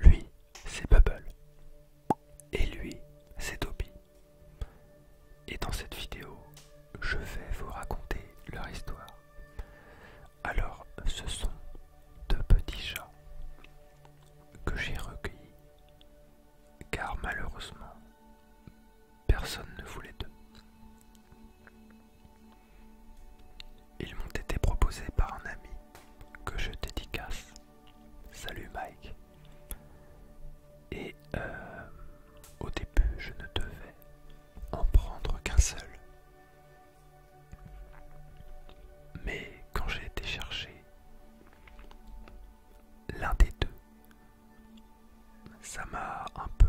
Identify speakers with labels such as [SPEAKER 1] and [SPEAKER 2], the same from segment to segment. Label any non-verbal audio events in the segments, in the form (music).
[SPEAKER 1] Lui, c'est Bubble. Et lui, c'est Toby. Et dans cette vidéo, je vais vous raconter leur histoire. Alors, ce sont deux petits chats que j'ai recueillis, car malheureusement, Personne ne voulait d'eux. Ils m'ont été proposés par un ami que je dédicace. Salut Mike. Et euh, au début, je ne devais en prendre qu'un seul. Mais quand j'ai été chercher l'un des deux, ça m'a un peu,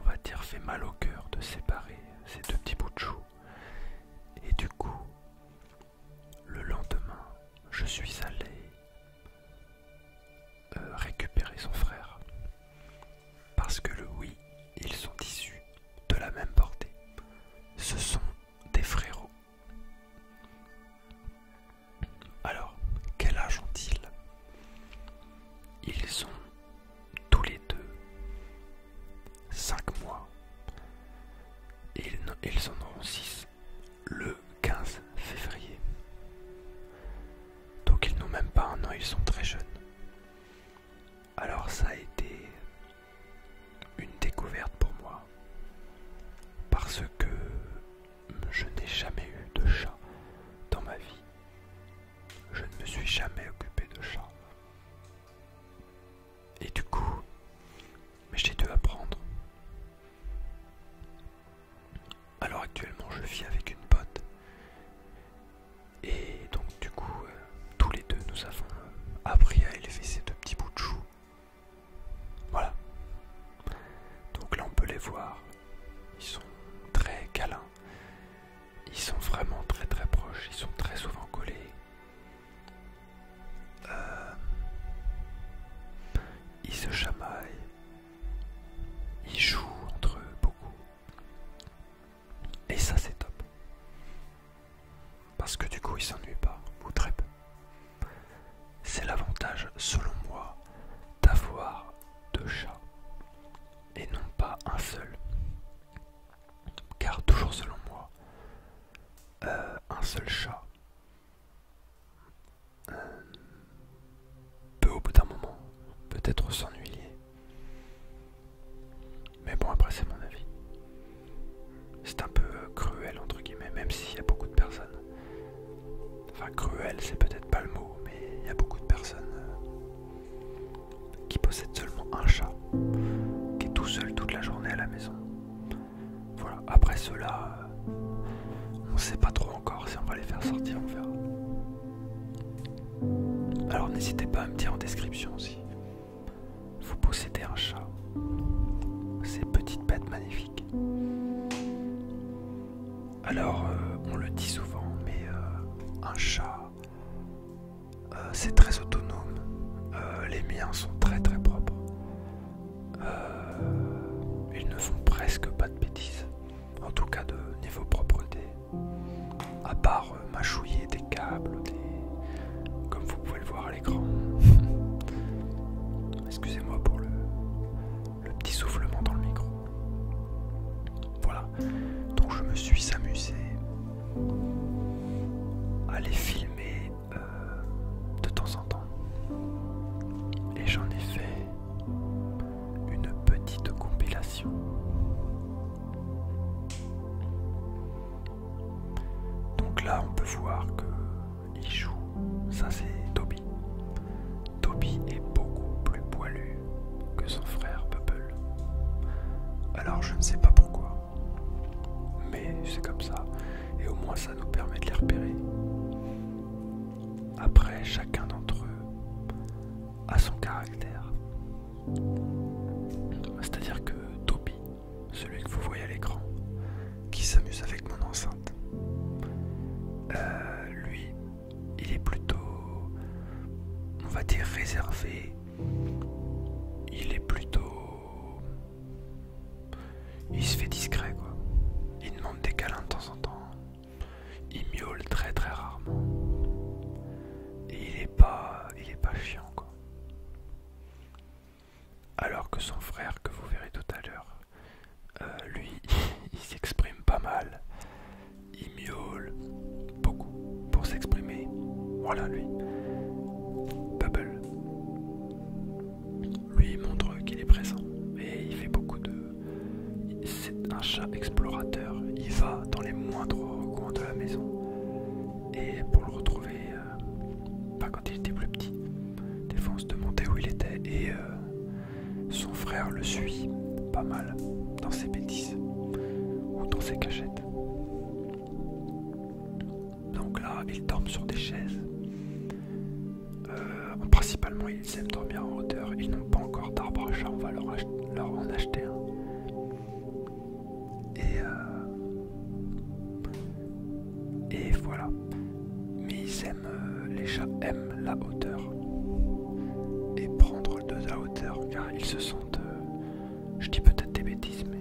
[SPEAKER 1] on va dire, fait mal au cœur de séparer ces deux petits bouts de chou. Et du coup, le lendemain, je suis allé euh, récupérer son frère. Parce que le oui, ils sont issus de la même portée. Ce sont des frérots. Alors, quel âge ont-ils Ils ont tous les deux 5 mois. Et ils en auront 6 le 15 février. Donc ils n'ont même pas un an, ils sont très jeunes. Alors ça a été une découverte pour moi. Parce que je n'ai jamais eu de chat dans ma vie. Je ne me suis jamais occupé de chat. Et du coup, mais j'ai dû apprendre. Alors actuellement, je vis avec une pote. Et donc du coup, euh, tous les deux, nous avons euh, appris à élever ces deux petits bouts de chou voilà. Donc là on peut les voir. Ils sont très câlins. Ils sont vraiment très très proches. Ils sont très souvent collés. Euh, ils se chamaillent. Ils jouent entre eux beaucoup. Et ça c'est top. Parce que du coup ils s'ennuient pas. Ou très peu. C'est l'avantage, selon moi, d'avoir deux chats et non pas un seul. Car toujours selon moi, euh, un seul chat euh, peut au bout d'un moment peut-être s'ennuyer. Mais bon après c'est mon avis. C'est un peu euh, cruel entre guillemets, même s'il y a beaucoup de personnes. Enfin cruel c'est peut-être pas le mot, mais il y a beaucoup de personnes euh, qui possèdent seulement un chat, qui est tout seul toute la journée à la maison. Voilà, après cela, on euh, on sait pas trop encore si on va les faire sortir, on verra. Alors n'hésitez pas à me dire en description si vous possédez un chat. Ces petites bêtes magnifiques. Alors, euh, on le dit souvent, mais euh, un chat, euh, c'est très autonome. les miens sont très très propres. ils ne font presque pas de bêtises, en tout cas de niveau propreté. À part mâchouiller des câbles, comme vous pouvez le voir (laughs) Excusez-moi pour le, petit soufflement dans le micro. Voilà, donc je me suis amusé à les filmer euh, de temps en temps. Et j'en ai fait une petite compilation. Donc là, on peut voir que il joue. Ça, c'est Toby. Toby est beaucoup plus poilu que son frère Bubble. Alors, je ne sais pas pourquoi. Mais c'est comme ça. Et au moins, ça nous permet de les repérer. Après, chacun d'entre eux a son caractère. C'est-à-dire que Toby celui que vous voyez à l'écran, qui s'amuse avec mon enceinte. Euh, lui, il est plutôt, on va dire, réservé. Il est plutôt... Il se fait discret, quoi. Il demande des câlins de temps en temps. Il miaule très très rarement. Et il est pas... Il est pas chiant, quoi alors que son frère que vous verrez tout à l'heure euh, lui (laughs) il s'exprime pas mal il miaule beaucoup pour s'exprimer voilà lui Bubble lui montre qu'il est présent et il fait beaucoup de c'est un chat explorateur il va dans les moindres coins de la maison et pour le retrouver euh, pas euh, bah, quand il était plus petit. Des fois on se demandait où il était et euh, son frère le suit pas mal dans ses bêtises ou dans ses cachettes. Donc là ils dorment sur des chaises. Euh, principalement ils aiment dormir en hauteur, ils n'ont pas encore d'arbre à on va leur en acheter un. Et, euh, et voilà. Mais ils aiment, euh, les chats aiment la hauteur et prendre de la hauteur car ils se sentent, euh, je dis peut-être des bêtises, mais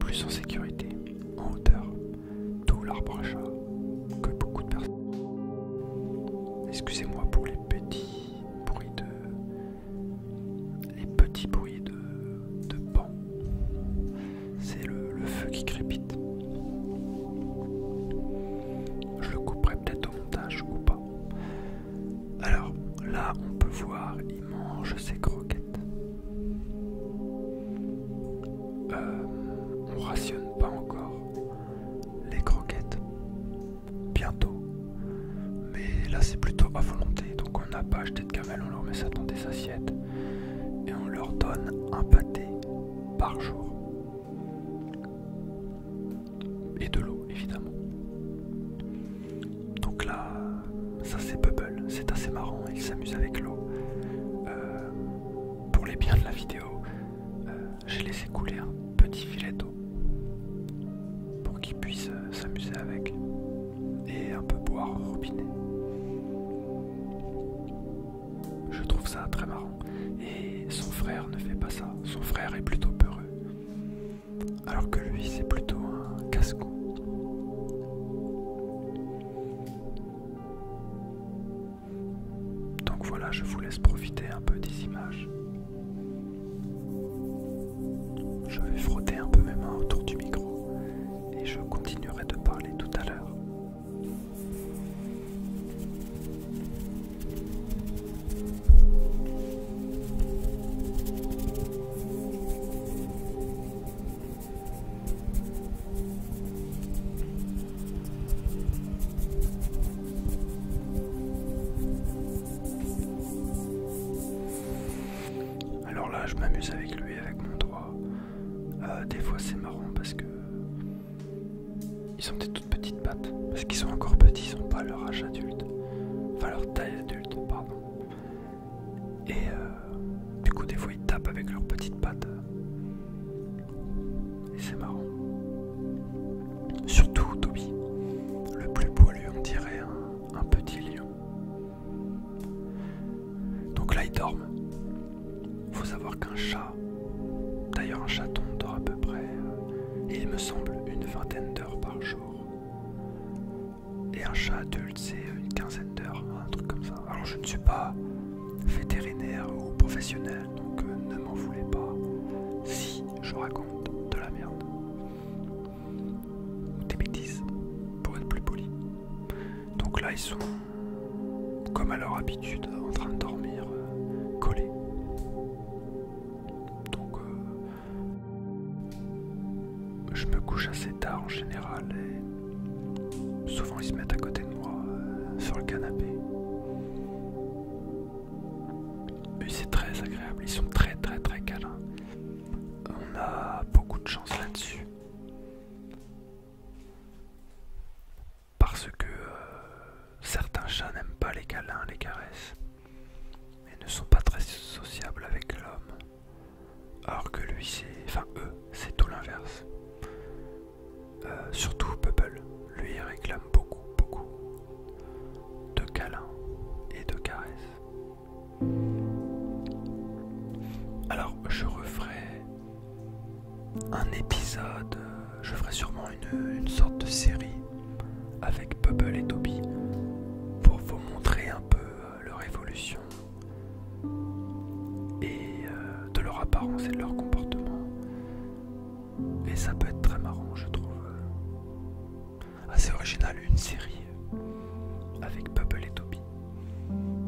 [SPEAKER 1] plus en sécurité, en hauteur, d'où l'arbre à chat que beaucoup de personnes. Excusez-moi pour les petits bruits de les petits bruits de, de C'est le, feu qui crépite. Je le couperai peut-être au montage ou pas. Alors là, on peut voir, il mange ses croquettes. Euh, on rationne pas encore les croquettes bientôt. Mais là c'est plutôt à volonté, donc on n'a pas acheté de camel on leur met ça dans des assiettes et on leur donne un pâté par jour. Et de l'eau évidemment. Donc là, ça c'est Bubble, c'est assez marrant, ils s'amusent avec l'eau. Euh, pour les biens de la vidéo, euh, j'ai laissé couler un petit filet d'eau pour qu'il puisse euh, s'amuser avec et un peu boire au robinet. Je trouve ça très marrant et son frère ne fait pas ça. Son frère est plutôt peureux. Alors que lui c'est plutôt un casse-cou. Donc voilà, je vous laisse profiter un peu des images. Je vais frotter un peu mes mains autour du micro et je continuerai de parler tout à l'heure. Alors là, je m'amuse avec lui, avec mon doigt. Euh, des fois, c'est marrant parce que ils ont des toutes petites pattes, parce qu'ils sont encore petits, ils sont pas leur âge adulte, enfin leur taille adulte, pardon. Et euh, du coup, des fois, ils tapent avec leurs petites pattes. Et c'est marrant. Surtout Toby, le plus poilu, on dirait un, petit lion. Donc là, il dorme. Faut savoir qu'un chat, d'ailleurs un chaton dort à peu près, euh, il me semble, une vingtaine d'heures par jour. Et un chat adulte, c'est une quinzaine d'heures, un truc comme ça. Alors je ne suis pas vétérinaire ou professionnel donc euh, ne m'en voulez pas si je raconte de la merde. Ou des bêtises, pour être plus poli. Donc là, ils sont, comme à leur habitude, en train de dormir euh, collés. Donc, euh, je me couche assez tard en général et souvent ils se mettent à côté de moi sur le canapé. Mais c'est très agréable, ils sont très très très câlins. On a beaucoup de chance là-dessus. Parce que euh, certains chats n'aiment pas les câlins, les caresses, et ne sont pas très sociables avec l'homme. Alors que lui, c'est. Enfin, eux, c'est tout l'inverse. Euh, surtout Bubble, lui réclame beaucoup, beaucoup de câlins et de caresses. Alors je referai un épisode, euh, je ferai sûrement une, sorte de série avec Bubble et Toby pour vous montrer un peu euh, leur évolution et de leur apparence et de leur comportement. Et ça peut être très marrant, je trouve. Assez original, une série avec Bubble et Toby.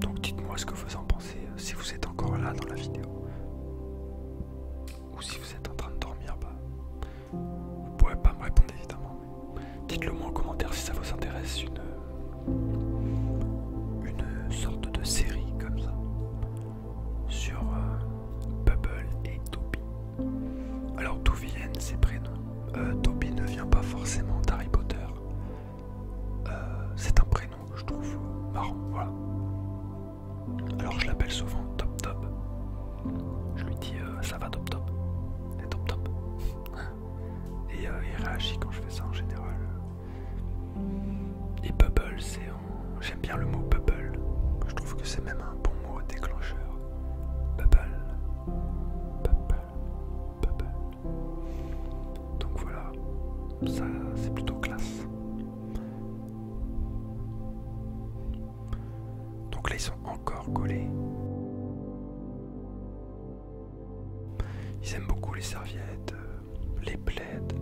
[SPEAKER 1] Donc dites-moi ce que vous en pensez, euh, si vous êtes encore là dans la vidéo. Ou si vous êtes en train de dormir, bah, vous pourrez pas me répondre évidemment. Dites-le moi en commentaire si ça vous intéresse une, une sorte de série comme ça sur euh, Bubble et Toby. Alors d'où viennent ces prénoms euh, Toby ne vient pas forcément d'Harry Potter. Euh, c'est un prénom que je trouve marrant, voilà. Alors je l'appelle souvent Top Top. Je lui dis ça va Top Top. Et Top Top. (laughs) et il réagit quand je fais ça en général. Et bubble, J'aime bien le mot bubble. Je trouve que c'est même un bon mot déclencheur. Bubble. Bubble. Bubble. Donc voilà. Ça, c'est plutôt classe. Donc là, ils sont encore collés. Ils aiment beaucoup les serviettes, euh, les plaides.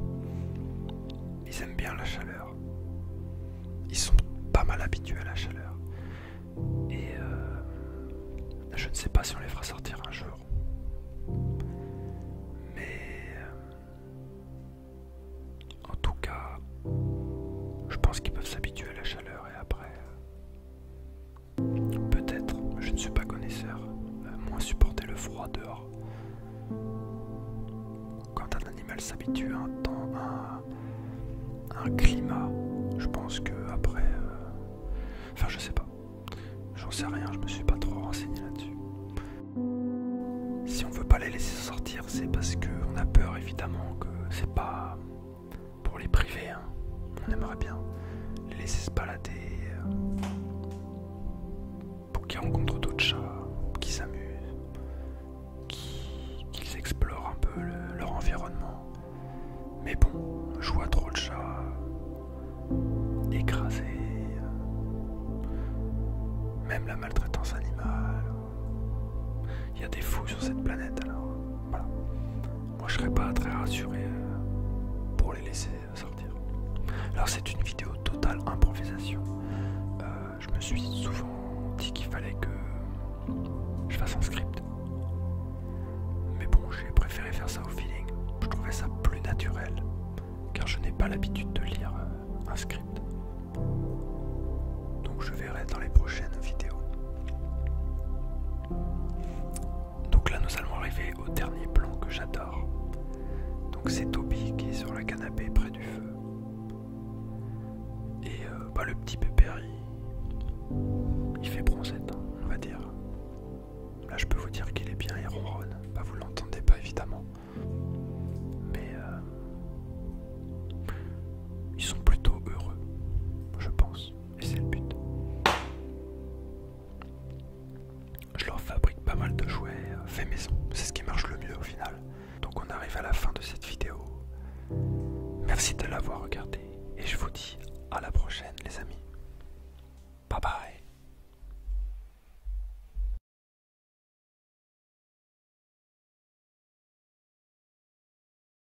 [SPEAKER 1] Ils aiment bien la chaleur. Ils sont pas mal habitués à la chaleur. Et euh, je ne sais pas si on les fera sortir un jour. Mais euh, en tout cas, je pense qu'ils peuvent s'habituer à la chaleur et après, Peut-être, je ne suis pas connaisseur, euh, moins supporter le froid dehors. Quand un animal s'habitue à un un, climat, je pense que après. Euh, enfin, je sais pas. J'en sais rien, je me suis pas trop renseigné là-dessus. Si on veut pas les laisser sortir, c'est parce qu'on a peur évidemment que c'est pas pour les priver. Hein on aimerait bien les laisser se balader euh, pour qu'ils rencontrent d'autres chats, qu'ils s'amusent, qu'ils explorent un peu leur environnement. Mais bon, je vois trop de chats euh, écrasés, euh, même la maltraitance animale. Il y a des fous sur cette planète alors. Voilà moi je serais pas très rassuré euh, pour les laisser euh, sortir. Alors c'est une vidéo totale improvisation. Euh, je me suis souvent dit qu'il fallait que je fasse un script. Mais bon, j'ai préféré faire ça au feeling. Je trouvais ça plus naturel car je n'ai pas l'habitude de lire un script. Donc je verrai dans les prochaines vidéos. Donc là, nous allons arriver au dernier plan que j'adore. Donc c'est Toby qui est sur le canapé près du feu. Et euh, bah, le petit pépère, il, fait bronzette, hein, on va dire. Là, je peux vous dire qu'il est bien, et ronronne. Bah, vous l'entendez pas évidemment. Mais euh, ils sont plutôt heureux, je pense. Et c'est le but. Je leur fabrique pas mal de jouets euh, fais maison. C'est ce qui marche le mieux au final. Donc on arrive à la fin de cette vidéo. Merci de l'avoir regardé. Et je vous dis à la prochaine les amis. Bye bye.